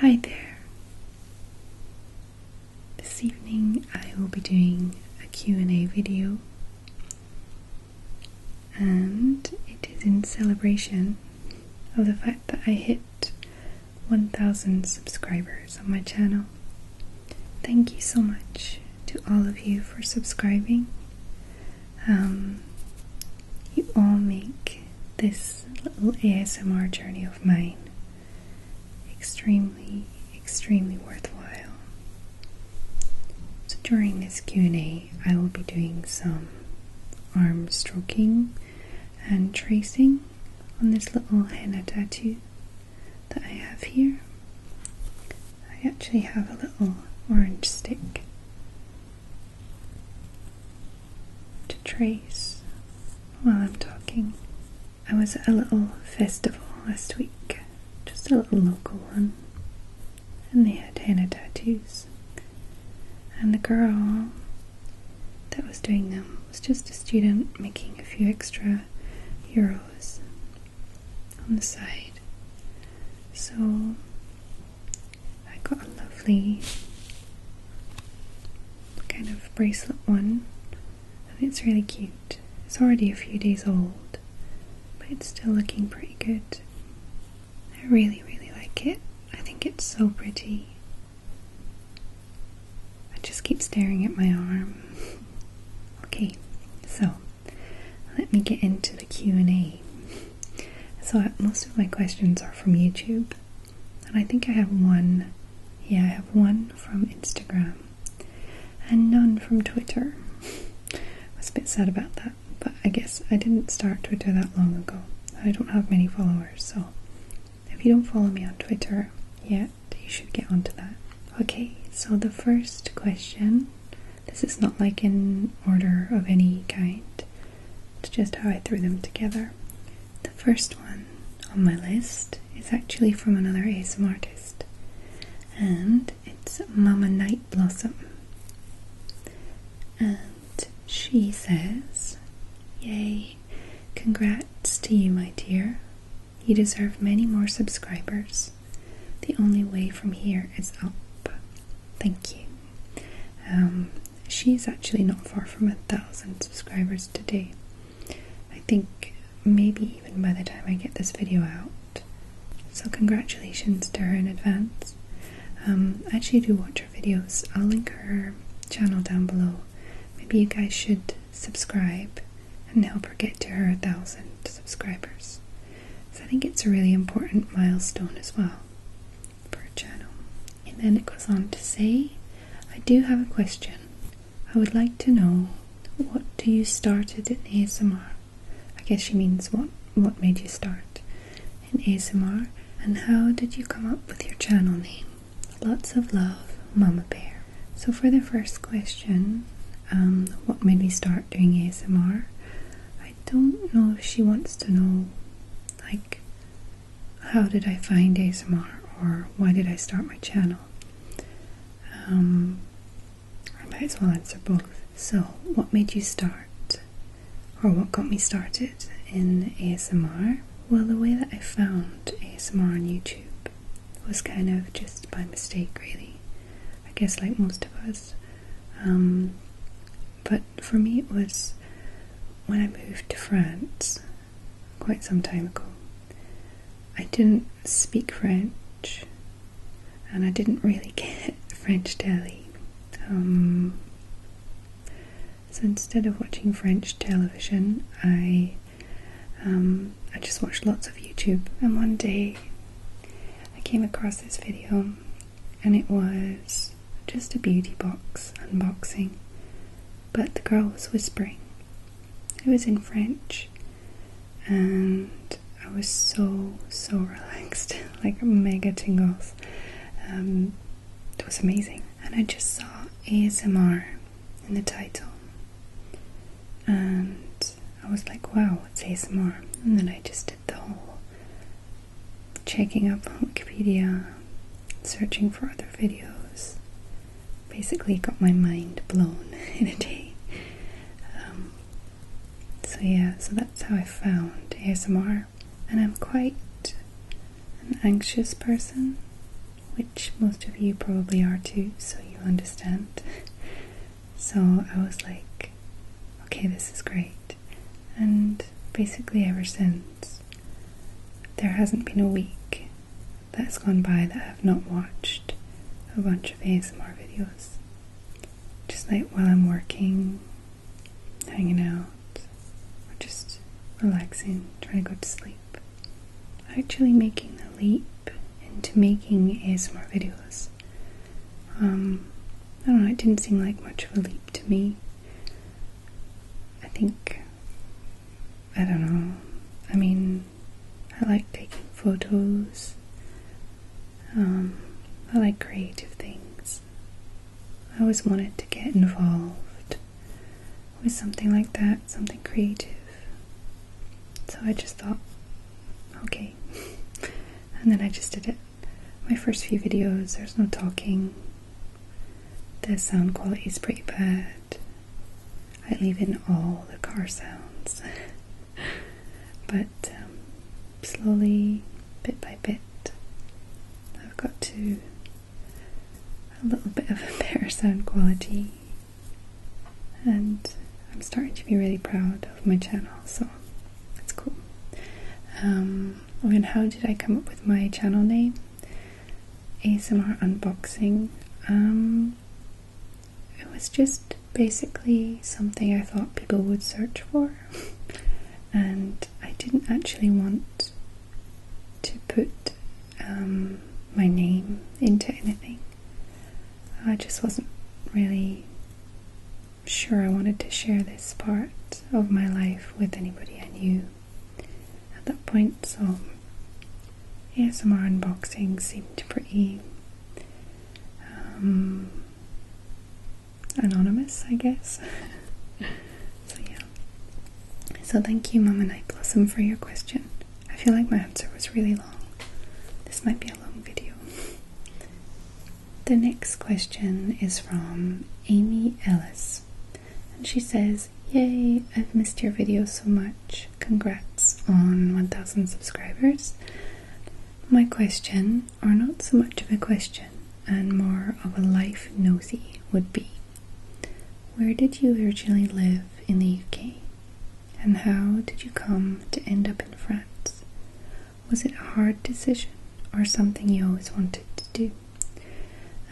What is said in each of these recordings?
Hi there. This evening I will be doing a Q&A video and it is in celebration of the fact that I hit 1000 subscribers on my channel. Thank you so much to all of you for subscribing. Um, you all make this little ASMR journey of mine extremely, extremely worthwhile. So during this Q&A, I will be doing some arm stroking and tracing on this little henna tattoo that I have here. I actually have a little orange stick to trace while I'm talking. I was at a little festival last week, just a little local one, and they had henna tattoos. And the girl that was doing them was just a student making a few extra euros on the side. So I got a lovely kind of bracelet one. I think it's really cute. It's already a few days old, but it's still looking pretty good. I really, really like it. I think it's so pretty. I just keep staring at my arm. okay, so let me get into the Q&A. So most of my questions are from YouTube, and I think I have one. Yeah, I have one from Instagram and none from Twitter. I was a bit sad about that, but I guess I didn't start Twitter that long ago. I don't have many followers, so if you don't follow me on Twitter yet, you should get onto that. Okay, so the first question this is not like in order of any kind. It's just how I threw them together. The first one on my list is actually from another ASM artist, and it's Mama Night Blossom. And she says, Yay, congrats to you, my dear. You deserve many more subscribers. The only way from here is up. Thank you. Um, she's actually not far from a thousand subscribers today. I think maybe even by the time I get this video out. So, congratulations to her in advance. I um, actually do watch her videos, I'll link her channel down below. Maybe you guys should subscribe and help her get to her thousand subscribers. So, I think it's a really important milestone as well per channel. And then it goes on to say, I do have a question. I would like to know what do you started in ASMR? I guess she means what what made you start in ASMR and how did you come up with your channel name? Lots of love, Mama Bear. So for the first question, um, what made me start doing ASMR? I don't know if she wants to know like how did I find ASMR or why did I start my channel? Um, I might as well answer both. So, what made you start, or what got me started in ASMR? Well, the way that I found ASMR on YouTube was kind of just by mistake, really. I guess, like most of us, um, but for me, it was when I moved to France quite some time ago. I didn't speak French and I didn't really get French telly. Um, so instead of watching French television, I um, I just watched lots of YouTube. And one day, I came across this video, and it was just a beauty box unboxing, but the girl was whispering. It was in French, and I was so, so relaxed like mega tingles. Um, it was amazing. And I just saw ASMR in the title, and I was like, wow, what's ASMR? And then I just did the whole checking up on Wikipedia, searching for other videos. Basically, got my mind blown in a day. Um, so, yeah, so that's how I found ASMR. And I'm quite an anxious person, which most of you probably are too, so you understand. So, I was like, okay, this is great. And basically, ever since, there hasn't been a week that's gone by that I've not watched a bunch of ASMR videos. Just like while I'm working, hanging out, or just relaxing, trying to go to sleep. Actually making the leap into making ASMR videos. Um, I don't know, it didn't seem like much of a leap to me. I think, I don't know, I mean, I like taking photos, um, I like creative things. I always wanted to get involved with something like that, something creative. So I just thought, okay. and then I just did it. My first few videos, there's no talking, the sound quality is pretty bad. I leave in all the car sounds. but um, slowly, bit by bit, I've got to a little bit of a better sound quality. And I'm starting to be really proud of my channel, so that's cool. Um, Oh, and how did I come up with my channel name? ASMR Unboxing. Um, it was just basically something I thought people would search for, and I didn't actually want to put um, my name into anything. I just wasn't really sure I wanted to share this part of my life with anybody I knew. At that point, so ASMR unboxing seemed pretty um, anonymous, I guess. so yeah. So thank you, Mama Night Blossom, for your question. I feel like my answer was really long. This might be a long video. the next question is from Amy Ellis. And she says, Yay, I've missed your video so much. Congrats on 1000 subscribers. My question, or not so much of a question, and more of a life nosy, would be Where did you originally live in the UK? And how did you come to end up in France? Was it a hard decision or something you always wanted to do?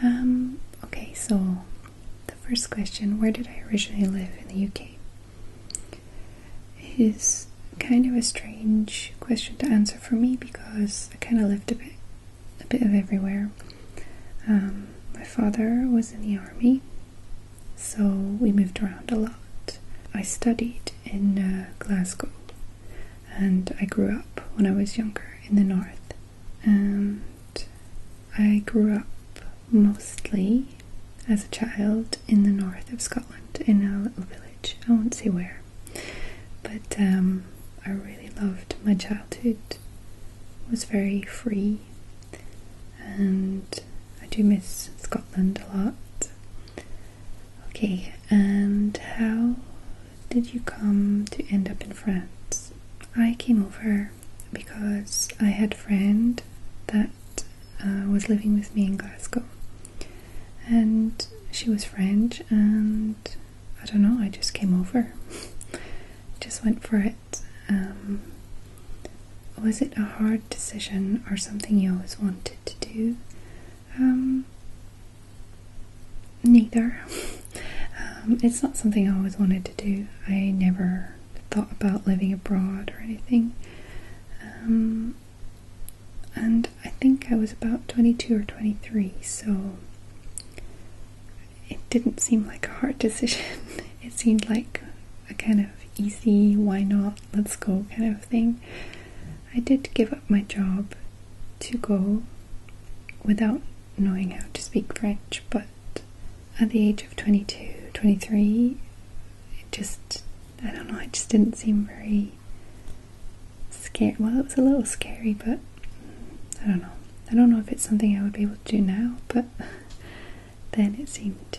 Um, okay, so the first question where did I originally live in the UK? Is kind of a strange question to answer for me because I kind of lived a bit, a bit of everywhere. Um, my father was in the army, so we moved around a lot. I studied in uh, Glasgow and I grew up when I was younger in the north, and I grew up mostly as a child in the north of Scotland in a little village. I won't say where, but um, I really loved my childhood. was very free, and I do miss Scotland a lot. Okay, and how did you come to end up in France? I came over because I had a friend that uh, was living with me in Glasgow, and she was French, and I don't know, I just came over, just went for it. Um, was it a hard decision or something you always wanted to do? Um, neither. Um, it's not something I always wanted to do. I never thought about living abroad or anything. Um, and I think I was about 22 or 23, so it didn't seem like a hard decision. it seemed like a kind of easy, why not, let's go kind of thing. I did give up my job to go without knowing how to speak French, but at the age of 22, 23, it just, I don't know, it just didn't seem very scary. Well, it was a little scary, but I don't know. I don't know if it's something I would be able to do now, but then it seemed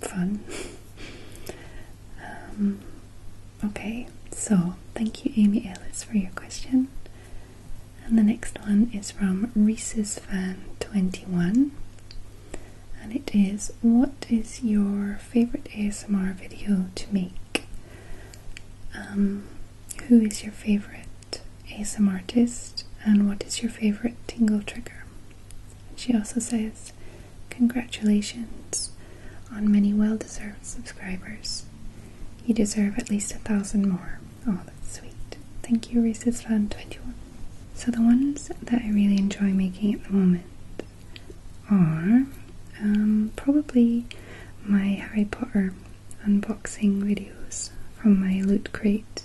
fun. Um, okay, so thank you, Amy Ellis, for your question. And the next one is from Reese's Fan 21 and it is what is your favorite ASMR video to make? Um, who is your favorite ASMR artist and what is your favorite tingle trigger? she also says, Congratulations, on many well deserved subscribers. You deserve at least a thousand more. Oh, that's sweet. Thank you, Reese's Fun 21. So, the ones that I really enjoy making at the moment are um, probably my Harry Potter unboxing videos from my Loot Crate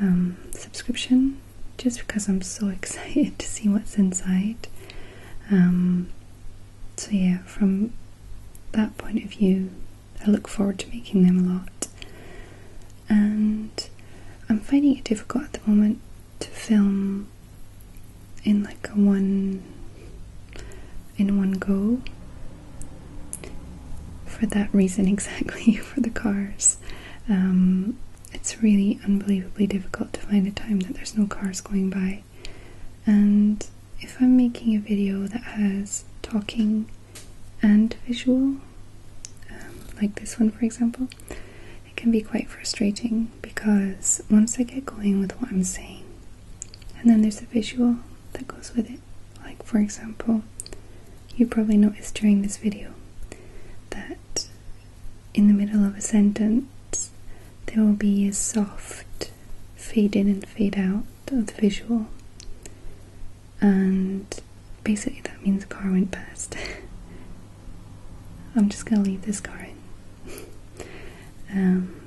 um, subscription, just because I'm so excited to see what's inside. Um, so, yeah, from that point of view, I look forward to making them a lot. And I'm finding it difficult at the moment to film in like a one in one go for that reason exactly for the cars um, it's really unbelievably difficult to find a time that there's no cars going by and if I'm making a video that has talking and visual, um, like this one for example, it can be quite frustrating because once I get going with what I'm saying, and then there's the visual that goes with it. Like, for example, you probably noticed during this video that in the middle of a sentence, there will be a soft fade in and fade out of the visual. And basically, that means a car went past. I'm just gonna leave this car in. Um,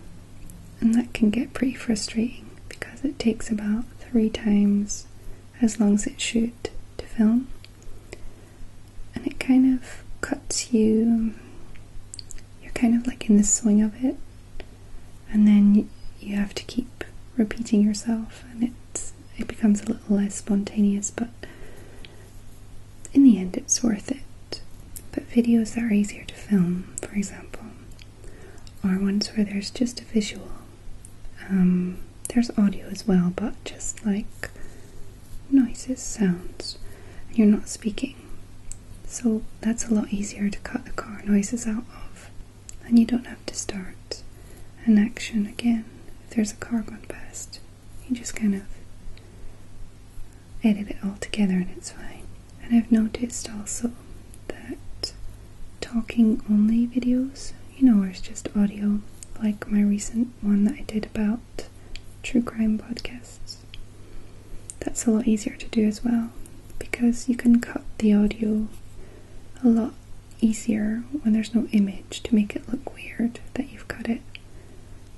and that can get pretty frustrating because it takes about three times as long as it should to film and it kind of cuts you. You're kind of like in the swing of it, and then you have to keep repeating yourself, and it's it becomes a little less spontaneous, but in the end, it's worth it. But videos that are easier to film, for example, are ones where there's just a visual. Um, there's audio as well, but just like noises, sounds, you're not speaking. So that's a lot easier to cut the car noises out of, and you don't have to start an action again if there's a car gone past. You just kind of edit it all together and it's fine. And I've noticed also that talking only videos, you know, where it's just audio, like my recent one that I did about true crime podcasts. That's a lot easier to do as well because you can cut the audio a lot easier when there's no image to make it look weird that you've cut it.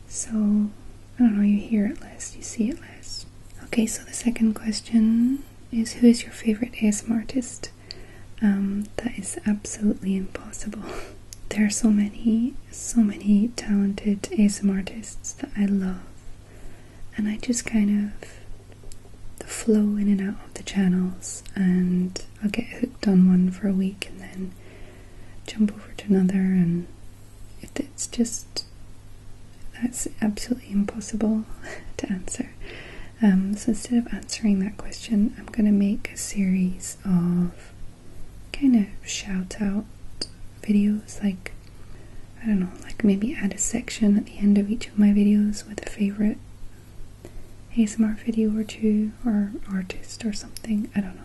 So, I don't know, you hear it less, you see it less. Okay, so the second question is Who is your favorite ASMR artist? Um, that is absolutely impossible. there are so many, so many talented ASM artists that I love, and I just kind of flow in and out of the channels, and I'll get hooked on one for a week and then jump over to another, and if it's just that's absolutely impossible to answer. Um, so instead of answering that question, I'm going to make a series of kind of shout out videos like I don't know, like maybe add a section at the end of each of my videos with a favorite ASMR video or two or artist or something. I don't know.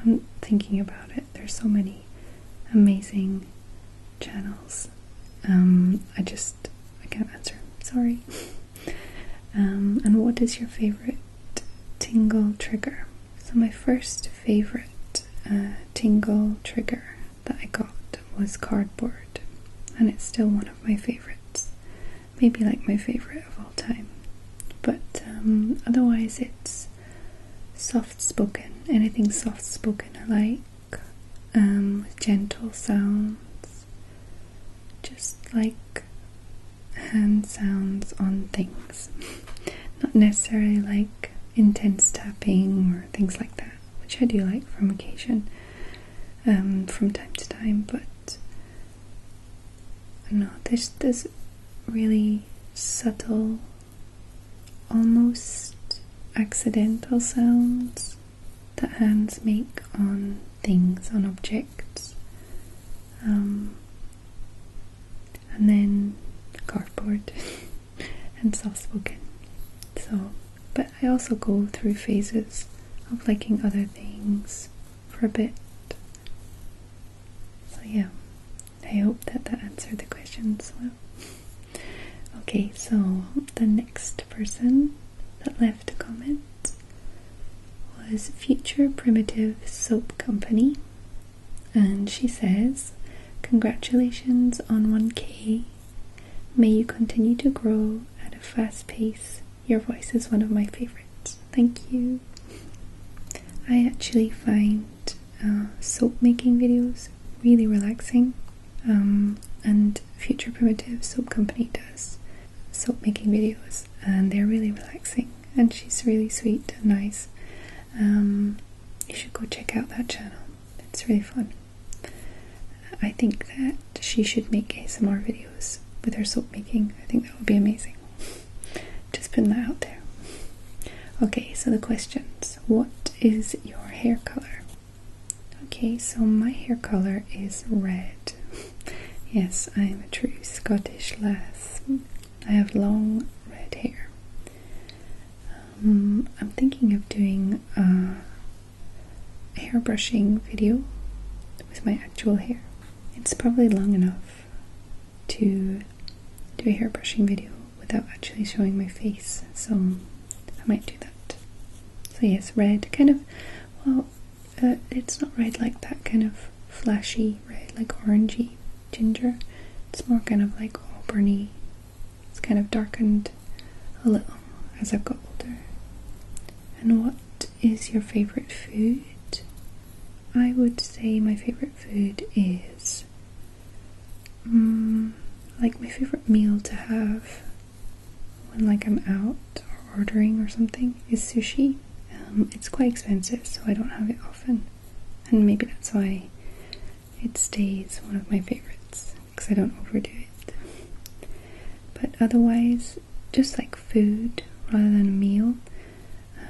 I'm thinking about it. There's so many amazing channels. Um, I just I can't answer. Sorry. Um, and what is your favorite tingle trigger? So, my first favorite uh, tingle trigger that I got was cardboard, and it's still one of my favorites. Maybe like my favorite of all time. But um, otherwise, it's soft spoken. Anything soft spoken I like, um, gentle sounds, just like hand sounds on things. Not necessarily like intense tapping or things like that, which I do like from occasion, um, from time to time, but I know, there's this really subtle, almost accidental sounds that hands make on things, on objects. Um, and then cardboard and soft spoken. So, but I also go through phases of liking other things for a bit. So, yeah, I hope that that answered the questions Okay, so the next person that left a comment was Future Primitive Soap Company, and she says, Congratulations on 1K. May you continue to grow at a fast pace. Your voice is one of my favorites. Thank you. I actually find uh, soap making videos really relaxing, um, and Future Primitive Soap Company does soap making videos, and they're really relaxing and she's really sweet and nice. Um, you should go check out that channel. It's really fun. I think that she should make ASMR videos with her soap making. I think that would be amazing. Just putting that out there. Okay, so the questions. What is your hair color? Okay, so my hair color is red. yes, I'm a true Scottish lass. I have long red hair. Um, I'm thinking of doing a hair brushing video with my actual hair. It's probably long enough to do a hair brushing video without actually showing my face, so I might do that. So yes, red, kind of, well, uh, it's not red like that kind of flashy red, like orangey ginger. It's more kind of like auburny. It's kind of darkened a little as I've got older. And what is your favorite food? I would say my favorite food is mm, like my favorite meal to have when like I'm out or ordering or something is sushi. Um, it's quite expensive, so I don't have it often and maybe that's why it stays one of my favorites because I don't overdo it. But otherwise, just like food rather than a meal,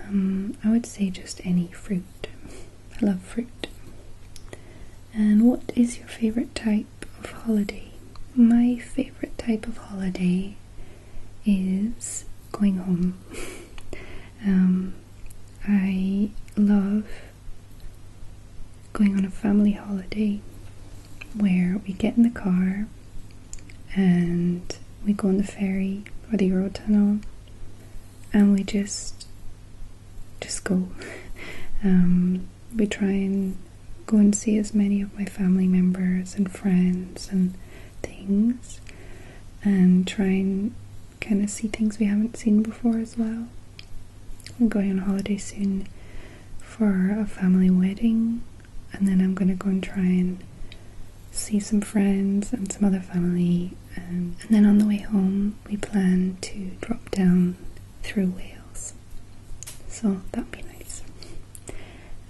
um, I would say just any fruit. I love fruit. And what is your favorite type of holiday? My favorite type of holiday is going home. Um, I love going on a family holiday where we get in the car and we go on the ferry or the Eurotunnel and we just just go. Um, we try and go and see as many of my family members and friends and things and try and kind of see things we haven't seen before as well. I'm going on holiday soon for a family wedding, and then I'm going to go and try and see some friends and some other family. Um, and, then on the way home, we plan to drop down through Wales. So that would be nice.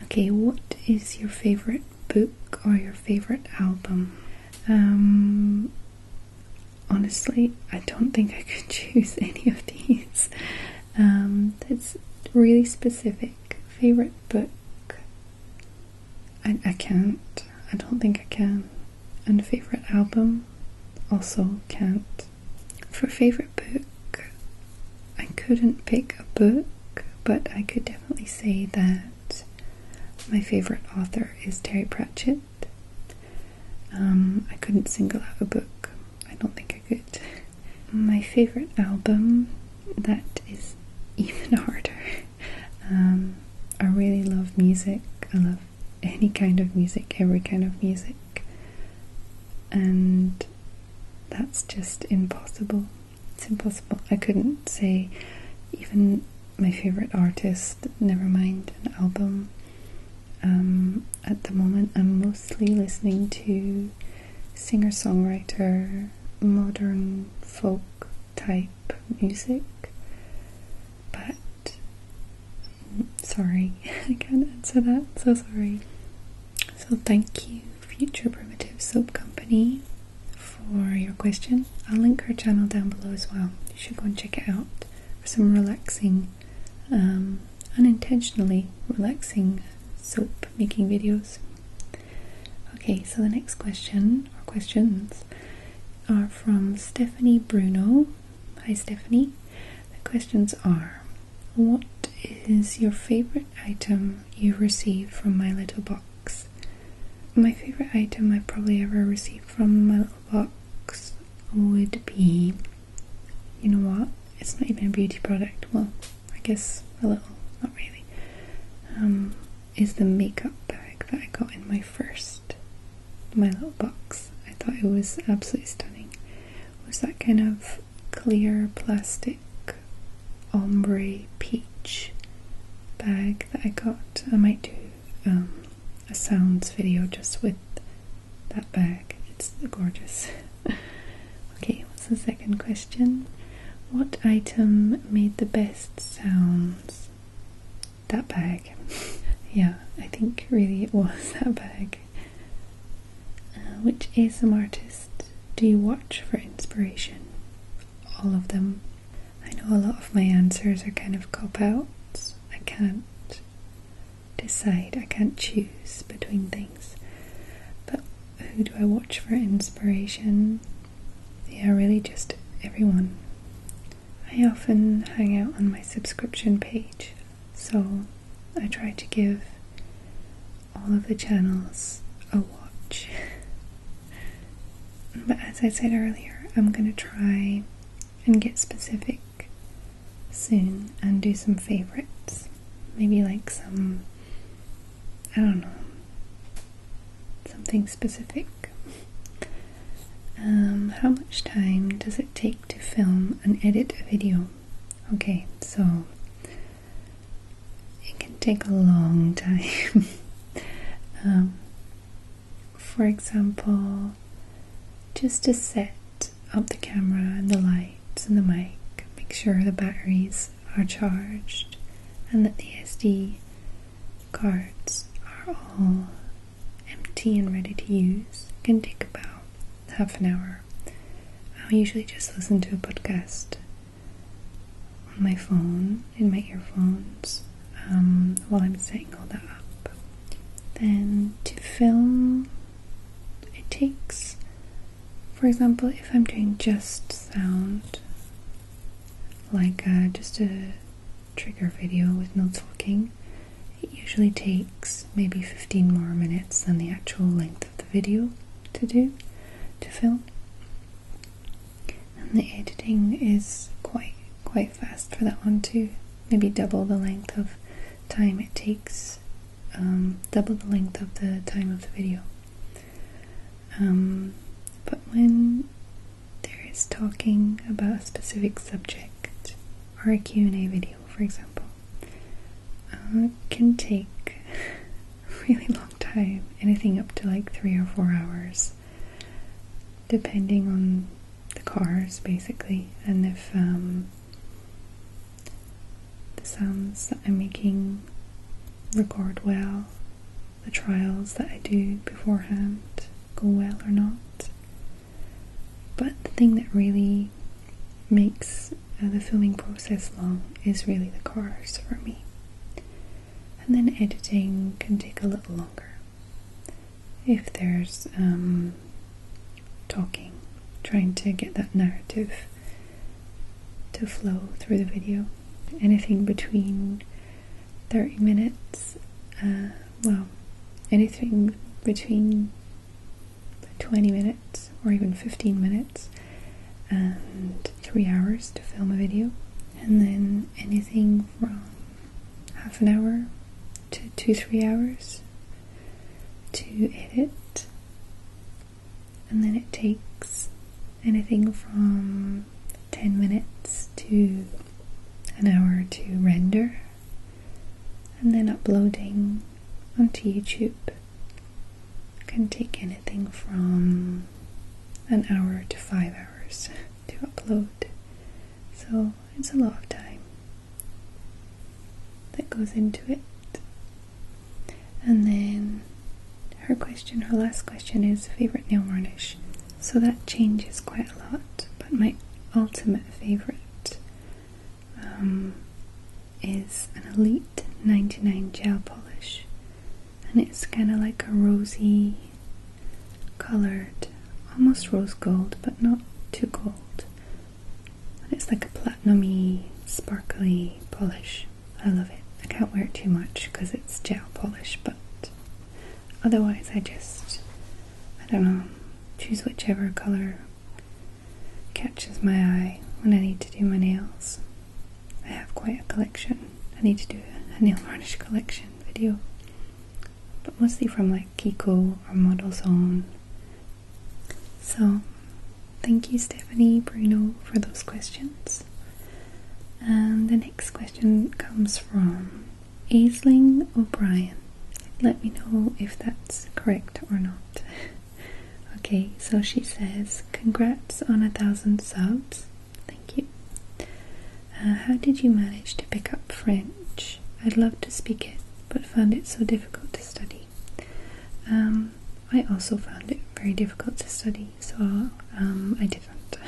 Okay, what is your favourite book or your favorite album? Um, honestly, I don't think I could choose any of these. Um, that's really specific. Favorite book? I, I can't. I don't think I can. And favorite album? Also can't. For favorite book, I couldn't pick a book, but I could definitely say that my favorite author is Terry Pratchett. Um, I couldn't single out a book. I don't think I could. My favorite album, that is even harder. Um, I really love music. I love any kind of music, every kind of music. And that's just impossible. It's impossible. I couldn't say even my favorite artist, never mind an album. Um, at the moment, I'm mostly listening to singer songwriter, modern folk type music, but mm, sorry, I can't answer that. So sorry. So, thank you Future Primitive Soap Company for your question. I'll link her channel down below as well. You should go and check it out for some relaxing, um, unintentionally relaxing soap making videos. Okay, so the next question or questions are from Stephanie Bruno. Hi, Stephanie. The questions are What is your favorite item you received from My Little Box? My favorite item I've probably ever received from my little box would be you know what? It's not even a beauty product. Well, I guess a little, not really. Um, is the makeup bag that I got in my first my little box. I thought it was absolutely stunning. was that kind of clear plastic ombre peach bag that I got. I might do um, a sounds video just with that bag. It's gorgeous. okay, what's the second question? What item made the best sounds? That bag. yeah, I think really it was that bag. Uh, which ASM artist do you watch for inspiration? all of them. I know a lot of my answers are kind of cop outs. I can't decide, I can't choose between things. But who do I watch for inspiration? Yeah, really just everyone. I often hang out on my subscription page, so I try to give all of the channels I watch. but as I said earlier, I'm going to try and get specific soon and do some favorites. Maybe like some, I don't know, something specific. Um, how much time does it take to film and edit a video? Okay, so it can take a long time. Um, for example, just to set up the camera and the lights and the mic, make sure the batteries are charged and that the SD cards are all empty and ready to use can take about half an hour. I'll usually just listen to a podcast on my phone, in my earphones, um, while I'm setting all that up. Then to film, it takes, for example, if I'm doing just sound, like uh, just a trigger video with no talking, it usually takes maybe 15 more minutes than the actual length of the video to do, to film and the editing is quite quite fast for that one too. Maybe double the length of time it takes, um, double the length of the time of the video. Um, but when there is talking about a specific subject or a Q&A video, for example, uh, can take really long time, anything up to like three or four hours, depending on the cars basically, and if um, the sounds I'm making record well, the trials that I do beforehand go well or not. But the thing that really makes uh, the filming process long is really the cars for me and then editing can take a little longer if there's um, talking, trying to get that narrative to flow through the video. Anything between 30 minutes, uh, well, anything between 20 minutes or even 15 minutes and three hours to film a video, and then anything from half an hour to two, three hours to edit, and then it takes anything from 10 minutes to an hour to render and then uploading onto YouTube can take anything from an hour to five hours to upload. So it's a lot of time that goes into it. And then her question, her last question is favorite nail varnish. So that changes quite a lot, but my ultimate favorite um, is an Elite 99 gel polish and it's kind of like a rosy colored, almost rose gold, but not too gold. it's like a platinumy, sparkly polish. I love it. I can't wear it too much because it's gel polish, but otherwise I just, I don't know, choose whichever color catches my eye when I need to do my nails. I have quite a collection. I need to do a nail varnish collection video. But mostly from like Kiko or Model Zone. So thank you Stephanie Bruno for those questions. And the next question comes from Aisling O'Brien. Let me know if that's correct or not. okay, so she says, Congrats on a thousand subs thank you. Uh, how did you manage to pick up French? I'd love to speak it, but found it so difficult to study. Um, I also found it very difficult to study, so um, I didn't.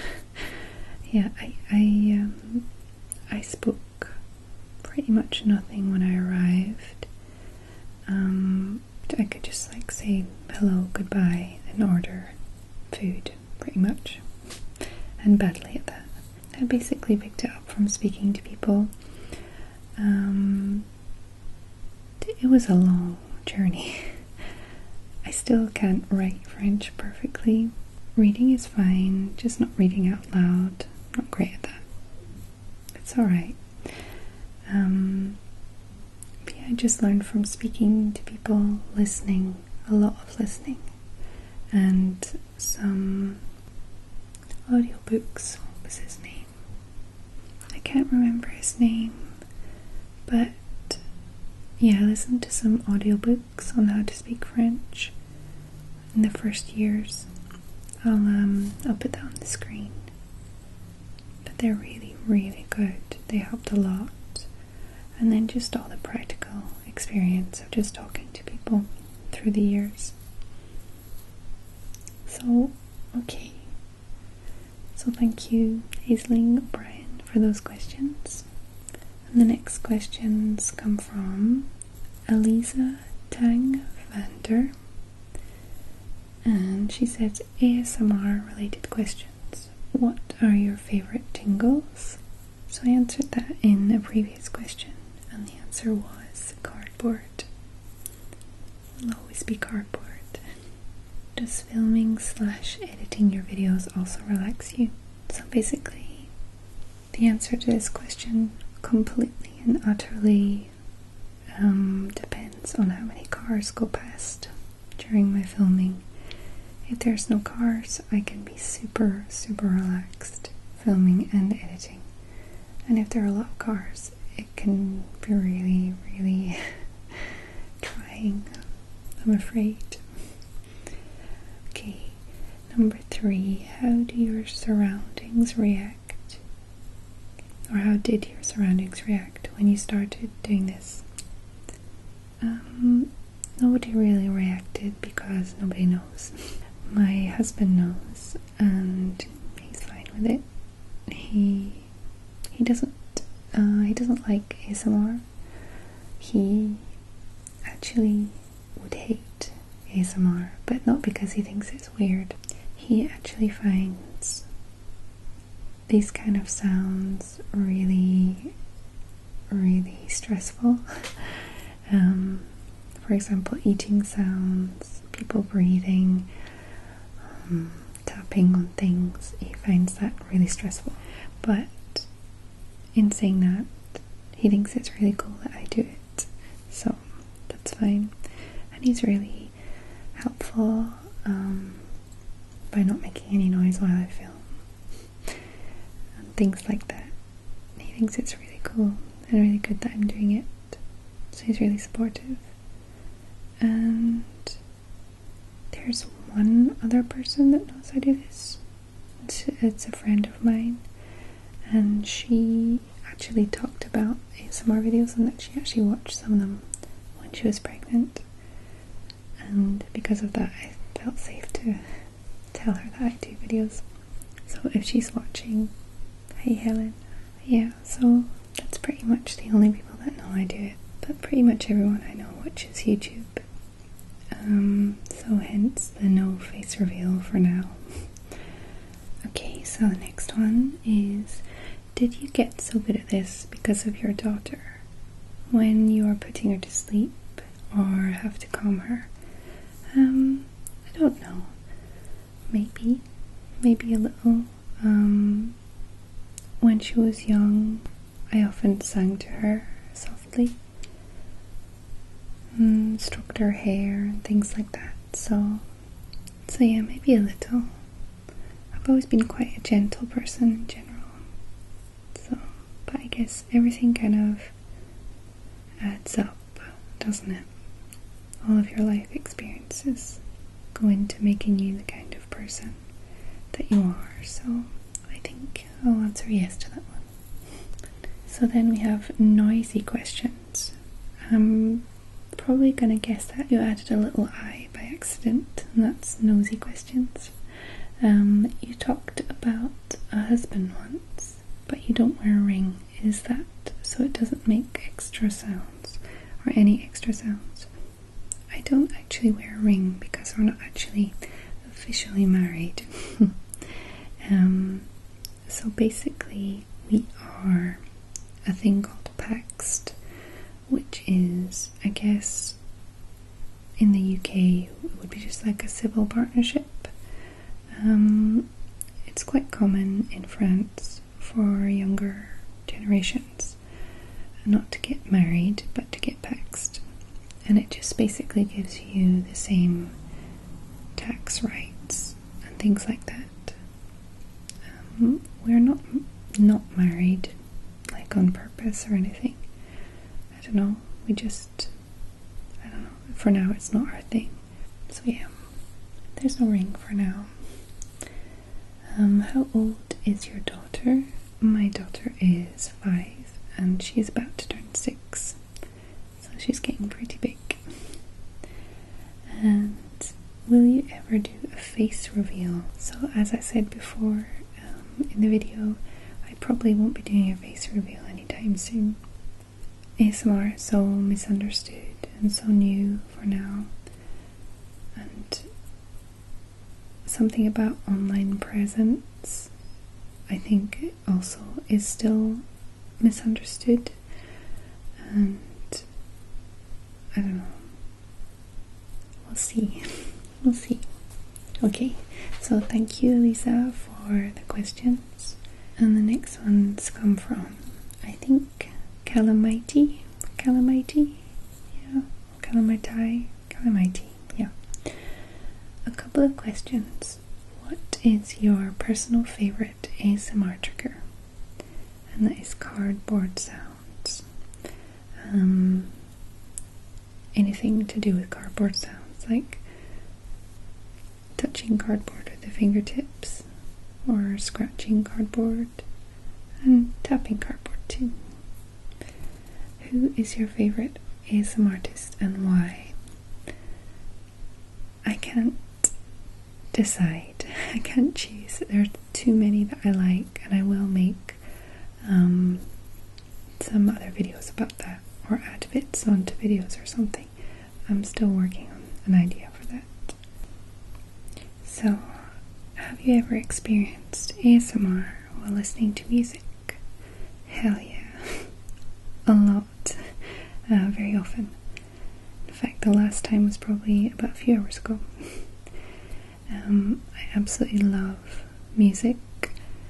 yeah, I um, I, spoke pretty much nothing when I arrived. I could just like say hello, goodbye, and order food pretty much. And badly at that. I basically picked it up from speaking to people. Um, it was a long journey. I still can't write French perfectly. Reading is fine, just not reading out loud. Not great at that. It's alright. Um, yeah, I just learned from speaking to people, listening, a lot of listening, and some audiobooks. What was his name? I can't remember his name, but yeah, I listened to some audiobooks on how to speak French in the first years. I'll um I'll put that on the screen. But they're really, really good. They helped a lot. And then just all the practical experience of just talking to people through the years. So, okay. So, thank you, Aisling Brian, for those questions. And the next questions come from Elisa Tang Vander. And she said ASMR related questions. What are your favorite tingles? So I answered that in a previous question, and the answer was cardboard. Will always be cardboard. Does filming slash editing your videos also relax you? So basically, the answer to this question completely and utterly um, depends on how many cars go past during my filming. If there's no cars, I can be super, super relaxed filming and editing. And if there are a lot of cars, it can be really, really trying, I'm afraid. Okay, number three, how do your surroundings react or how did your surroundings react when you started doing this? Um, nobody really reacted because nobody knows. My husband knows and he's fine with it. He he doesn't uh, he doesn't like ASMR. He actually would hate ASMR, but not because he thinks it's weird. He actually finds these kind of sounds really, really stressful. Um, for example, eating sounds, people breathing, um, tapping on things, he finds that really stressful. But in saying that, he thinks it's really cool that I do it, so that's fine. And he's really helpful. Um, by not making any noise while I film, and things like that. He thinks it's really cool and really good that I'm doing it, so he's really supportive. And there's one other person that knows I do this. It's, a friend of mine, and she actually talked about some of ASMR videos and that she actually watched some of them when she was pregnant and because of that I felt safe to tell her that I do videos so if she's watching hey Helen yeah so that's pretty much the only people that know I do it but pretty much everyone I know watches YouTube um, so hence the no face reveal for now okay so the next one is did you get so good at this because of your daughter? When you are putting her to sleep or have to calm her? Um, I don't know. Maybe. Maybe a little. Um, when she was young, I often sang to her softly. Mm, stroked her hair and things like that. So, so yeah, maybe a little. I've always been quite a gentle person in general. So, but I guess everything kind of adds up, doesn't it? All of your life experiences go into making you the kind of person that you are. So, I think I'll answer yes to that one. So then we have noisy questions. Um, probably gonna guess that you added a little I by accident, and that's nosy questions. Um, you talked about a husband once, but you don't wear a ring. Is that so it doesn't make extra sounds or any extra sounds? I don't actually wear a ring because we're not actually officially married. Um, so basically, we are a thing called paxed, which is, I guess, in the UK, would be just like a civil partnership. Um, it's quite common in France for younger generations not to get married but to get taxed, and it just basically gives you the same tax rights and things like that um, we're not not married, like on purpose or anything. I don't know. We just, I don't know. For now, it's not our thing. So yeah, there's no ring for now. Um, how old is your daughter? My daughter is five, and she's about to turn six, so she's getting pretty big. And will you ever do a face reveal? So as I said before um, in the video, I probably won't be doing a face reveal anytime soon. ASMR is so misunderstood and so new for now. And something about online presence, I think, also is still misunderstood. And I don't know we'll see. We'll see. Okay, so thank you, Lisa, for the questions. And the next ones come from, I think, Calamity. Calamity? Yeah, Calamity. Calamity, yeah. A couple of questions. What is your personal favorite ASMR trigger? And that is cardboard sound. Um, anything to do with cardboard sounds, like touching cardboard with the fingertips, or scratching cardboard, and tapping cardboard too. Who is your favorite ASM artist and why? I can't decide. I can't choose. There too many that I like, and I will make um, some other videos about that or add bits onto videos or something. I'm still working on an idea for that. So, have you ever experienced ASMR while listening to music? Hell yeah, a lot, uh, very often. In fact, the last time was probably about a few hours ago. Um, I absolutely love music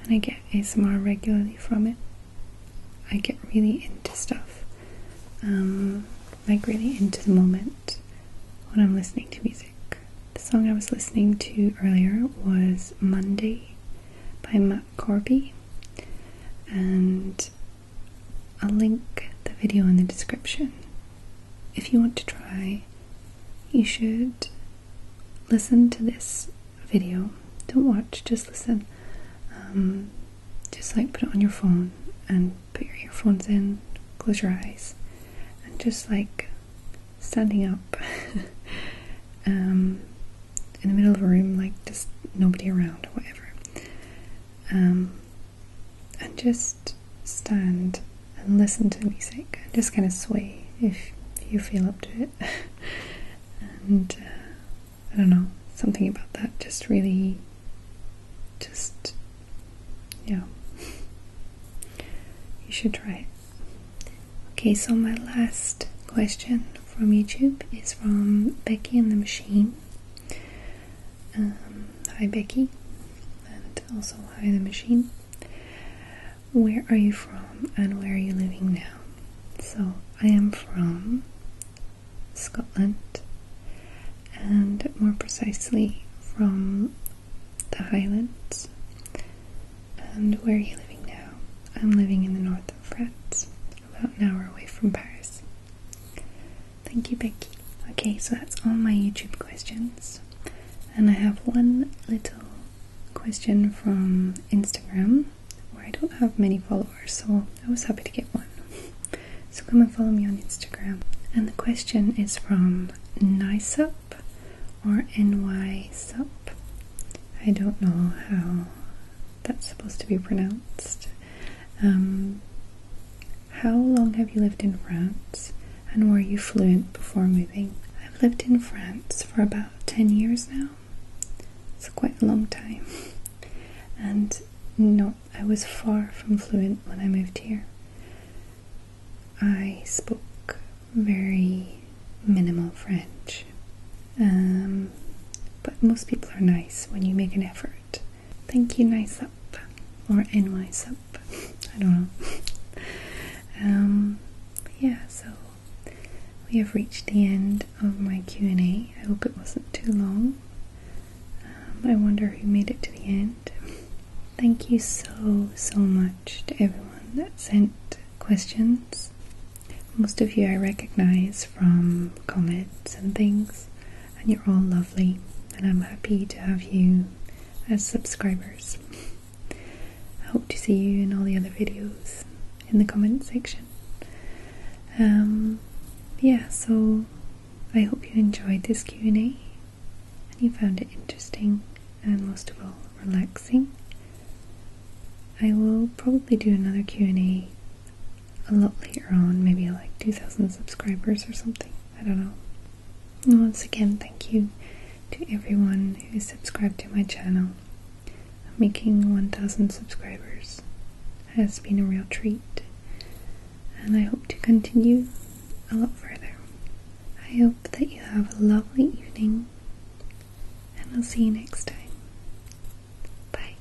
and I get ASMR regularly from it. I get really into stuff, um, like really into the moment when I'm listening to music. The song I was listening to earlier was Monday by Matt Corby, and I'll link the video in the description if you want to try, you should listen to this video. Don't watch, just listen. Um, just like put it on your phone and put your earphones in, close your eyes, and just like standing up um, in the middle of a room, like just nobody around or whatever. Um, and just stand and listen to music. Just kind of sway if you feel up to it. and uh, I don't know, something about that just really, just, yeah. you should try it. Okay, so my last question from YouTube is from Becky and the Machine. Um, hi Becky, and also hi the machine. Where are you from and where are you living now? So, I am from Scotland, and more precisely from the Highlands. And where are you living now? I'm living in the north of France, about an hour away from Paris. Thank you, Becky. Okay, so that's all my YouTube questions. And I have one little question from Instagram where I don't have many followers, so I was happy to get one. So come and follow me on Instagram. And the question is from NYSUP or NYSUP. I don't know how that's supposed to be pronounced. Um, how long have you lived in France and were you fluent before moving? I've lived in France for about 10 years now. It's quite a long time. And no, I was far from fluent when I moved here. I spoke very minimal French. Um, but most people are nice when you make an effort. Thank you, nice up or NY's up. I don't know. um, yeah, so we have reached the end of my Q&A. I hope it wasn't too long. Um, I wonder who made it to the end. Thank you so, so much to everyone that sent questions. Most of you I recognize from comments and things and you're all lovely, and I'm happy to have you as subscribers. I hope to see you in all the other videos in the comment section. Um, yeah, so I hope you enjoyed this Q&A and you found it interesting and most of all relaxing. I will probably do another Q&A a lot later on, maybe like 2,000 subscribers or something. I don't know once again, thank you to everyone who subscribed to my channel. Making 1,000 subscribers has been a real treat, and I hope to continue a lot further. I hope that you have a lovely evening, and I'll see you next time. Bye.